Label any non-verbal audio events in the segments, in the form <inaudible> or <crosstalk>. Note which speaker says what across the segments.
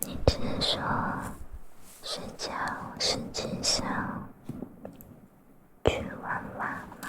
Speaker 1: 你只是说睡觉，睡想去玩玩吗？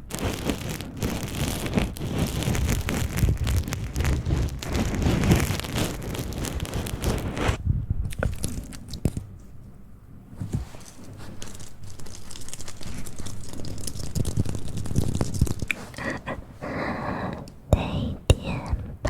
Speaker 1: 得 <laughs> 点吧。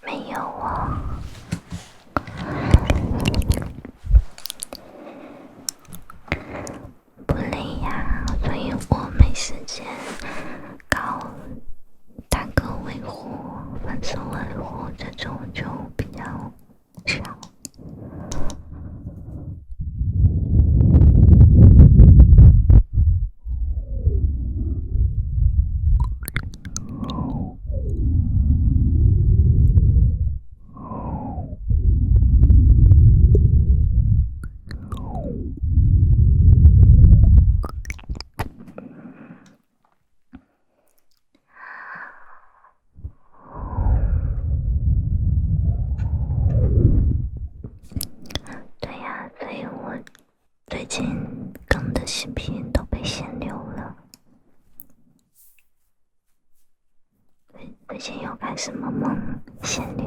Speaker 2: 没有啊。不累呀，所以我没时间搞打歌维护、粉丝维护这种，就比较少。哦
Speaker 3: 对呀，所以我。最近更的视频都被限流了，最最近又开始萌萌限流。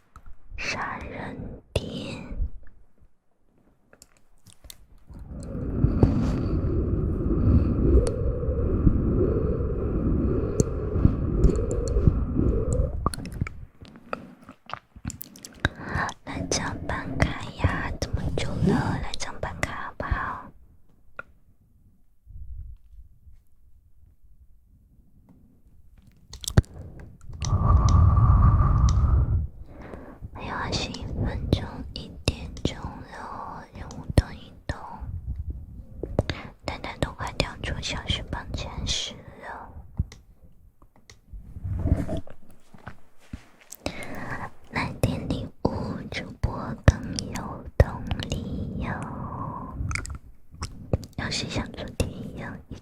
Speaker 3: 杀人电，来张办卡呀！这么久了，来张办卡好不好？还有二十分钟，一点钟了，任务动一动，蛋蛋都快掉出小翅膀前十了，来点礼物，主播更有动力哟！要是像昨天一样一。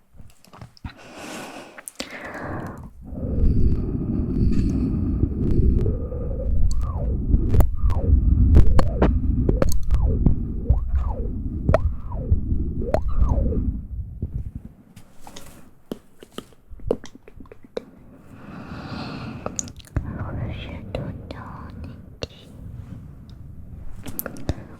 Speaker 3: 我是豆豆弟弟。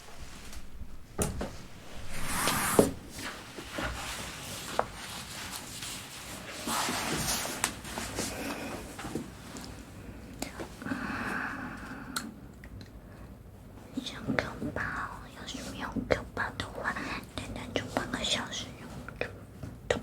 Speaker 2: 上课吧，要是没有课的话，天天做梦的时候，就是有这种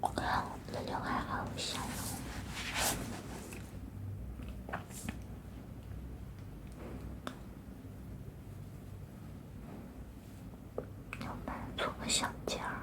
Speaker 2: 我的刘海好小哦，要买个小尖儿。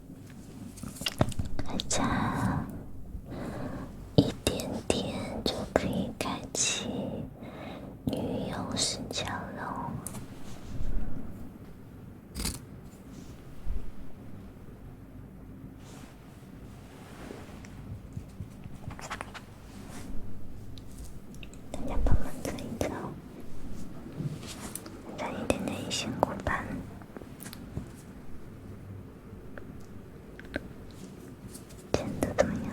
Speaker 1: 还差一点点就可以开启女友视角了，大家帮忙猜一猜，差一点点辛苦版。剪得怎么样？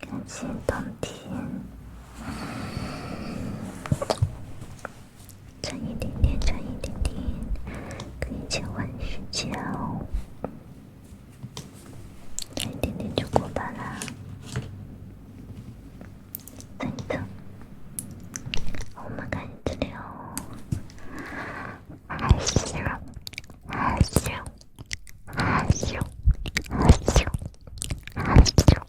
Speaker 1: 感谢冬天，
Speaker 2: 差一点点，差一点点，可以切换时间哦，差一点点就过半啦，等一等，我们赶紧治疗，害羞，害羞，害羞，害羞，害羞。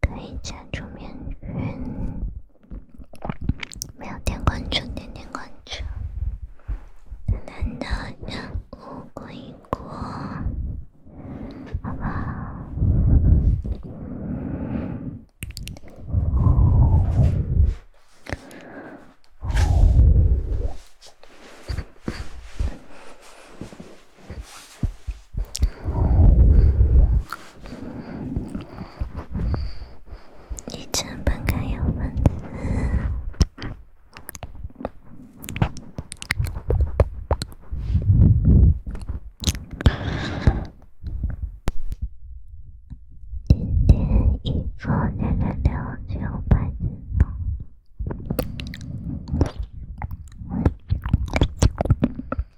Speaker 2: 可以加出面具，没有点关注，点点关注。难道难过？一过？好吧。你真不该要分手。今天一说六六六，就白痴了。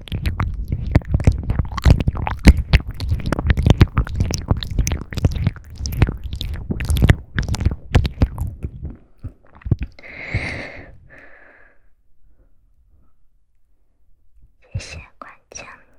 Speaker 2: 谢谢关心你。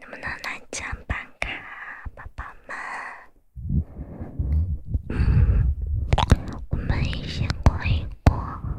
Speaker 2: 能不能来张办卡，宝宝们？嗯，我们一起过一过。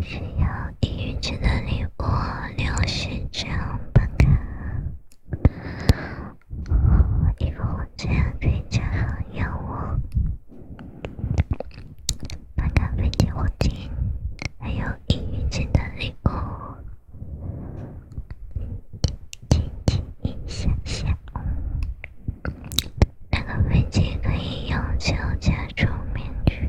Speaker 2: 需要异域城的礼物六十张本卡，一个火箭可以加好友。人物，飞机我进，还有异域城的礼物，亲亲一下下，那个飞机可以用脚加出面具。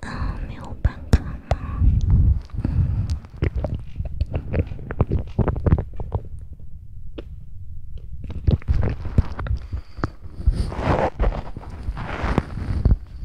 Speaker 2: 啊，没有办卡吗？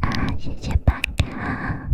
Speaker 2: 啊，谢谢潘卡。